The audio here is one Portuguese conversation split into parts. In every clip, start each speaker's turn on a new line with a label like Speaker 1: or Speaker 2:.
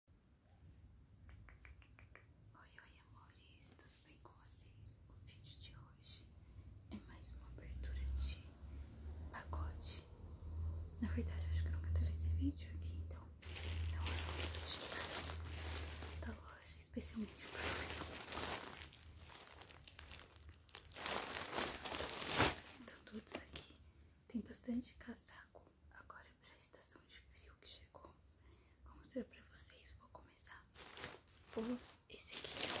Speaker 1: Oi, oi amores, tudo bem com vocês? O vídeo de hoje é mais uma abertura de pacote. Na verdade, acho que nunca teve esse vídeo aqui, então são as coisas de da loja, especialmente para Então, todos aqui tem bastante casaco Agora é para a estação de frio que chegou, como será para vocês. Vou começar por esse aqui. É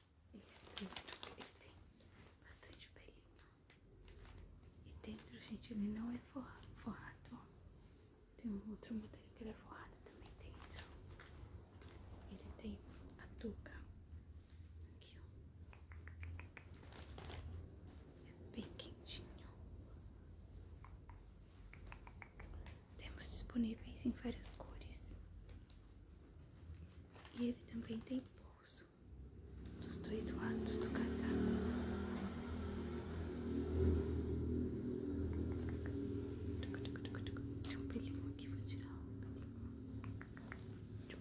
Speaker 1: Ele é curto, ele tem bastante pelinho. E dentro, gente, ele não é forrado, Tem um outro modelo que ele é forrado também dentro. Ele tem a touca. Aqui, ó. É bem quentinho. Temos disponíveis em várias cores. E ele também tem bolso dos dois lados do casaco. Tem um pelinho aqui, vou tirar um pelinho. Tem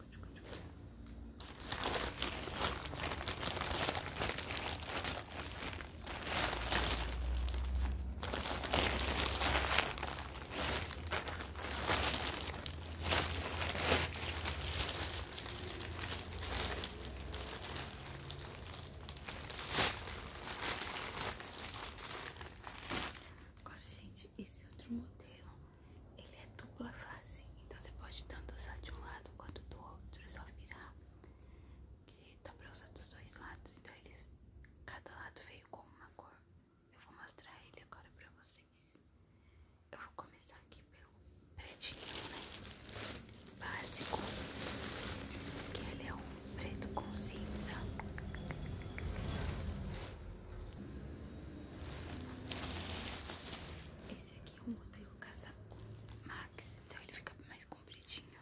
Speaker 1: Agora, gente, esse outro modelo ele é dupla face, então você pode tanto usar de um lado quanto do outro, é só virar, que dá pra usar dos dois lados, então eles, cada lado veio com uma cor. Eu vou mostrar ele agora pra vocês. Eu vou começar aqui pelo pretinho, né? Básico, que ele é um preto com cinza. Esse aqui é o modelo casaco Max, então ele fica mais compridinho.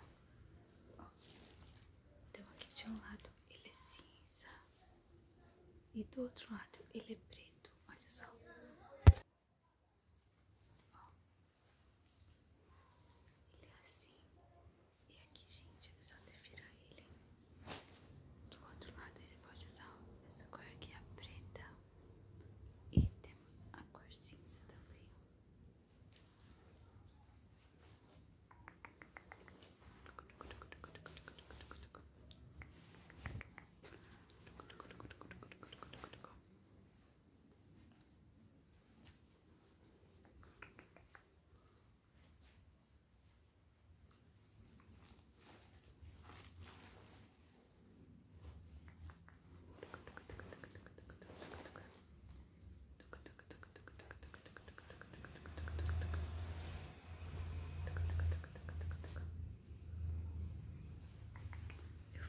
Speaker 1: Então aqui de um lado ele é cinza e do outro lado ele é preto, olha só. Ele é assim. E aqui, gente, é só você virar ele. Do outro lado você pode usar essa cor aqui, a é preta. E temos a cor cinza também. Eu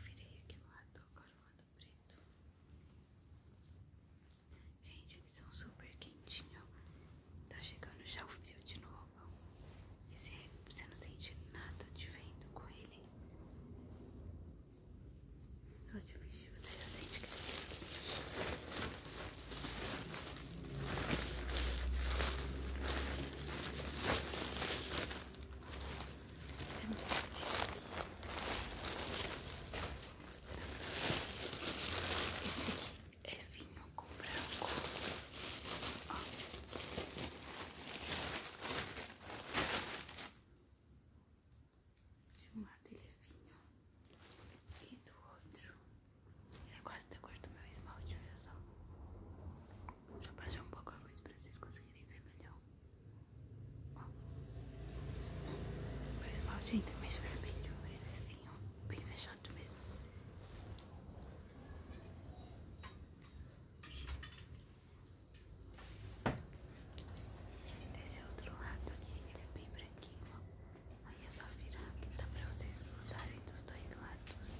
Speaker 1: virei aqui no lado, agora no lado preto. Gente, são super quentinhos. Tá chegando já o frio de novo. você não sente nada de vendo com ele. Só de vestir você já sente que ele é quente. Mostrar pra vocês. Esse aqui é fino, com branco. De um lado ele é fino e do outro ele é quase da tá cor do meu esmalte, olha só. Deixa eu baixar um pouco a luz para vocês conseguirem ver melhor. Ó. esmalte ainda é mais vermelho, ele é vinho bem fechado mesmo. Desse outro lado aqui, ele é bem branquinho, Aí é só virar que dá pra vocês usarem dos dois lados.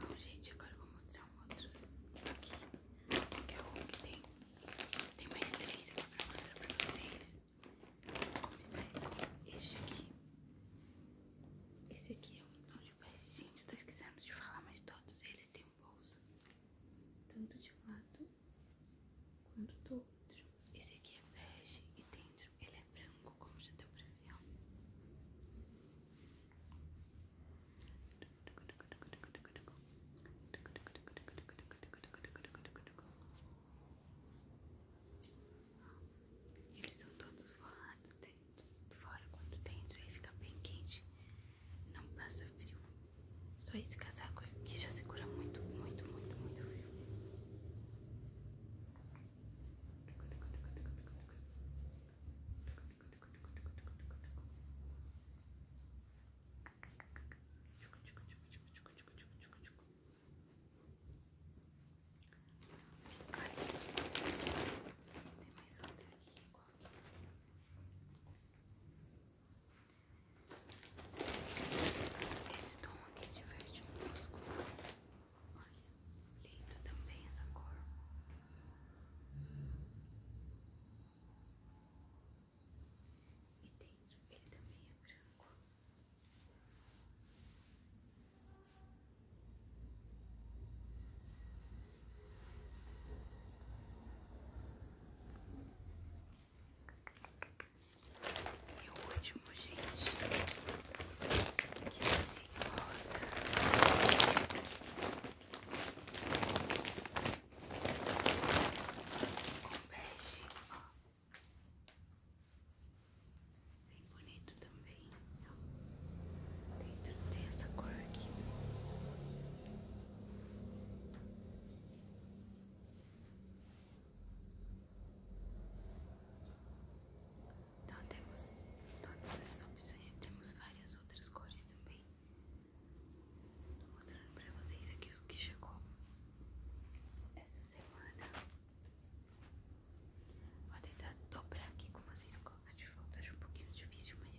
Speaker 1: Bom, gente, agora eu vou mostrar um outro aqui, que é o que tem. Tem mais três aqui pra mostrar pra vocês. Comecei com este aqui. Esse aqui é um tom de pele. Gente, eu tô esquecendo de falar, mas todos eles têm um bolso. Tanto de um lado quanto do outro. Esse aqui é bege e dentro ele é branco, como já deu pra ver. Ó. Eles são todos rolados dentro, fora quando dentro aí fica bem quente, não passa frio. Só esse casaco aqui já segura muito, muito, muito, muito frio. Tchucu, tchucu, tchucu, tchucu, tchucu, tchucu, tchucu, tchucu. Ai, tem mais outra aqui Esse tom aqui de verde musgo. Olha, lindo também essa cor. E dentro ele também é branco. E o último, gente, que é assim, rosa. Com bege, Bem bonito também. tem essa cor aqui. Então temos todas essas opções e temos várias outras cores também. Tô mostrando para vocês aqui frio que chegou essa semana. Vou tentar dobrar aqui com vocês colocar a de volta. Acho um pouquinho difícil, mas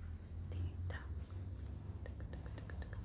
Speaker 1: vamos tentar. Vou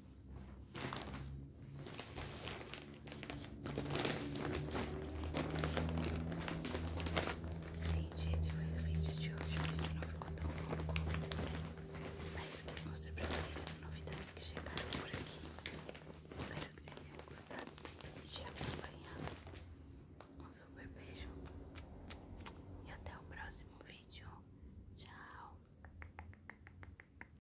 Speaker 1: Gente, esse foi o vídeo de hoje. Hoje não ficou tão longo, mas queria mostrar pra vocês as novidades que chegaram por aqui. Espero que vocês tenham gostado de acompanhar. Um super beijo e até o próximo vídeo. Tchau!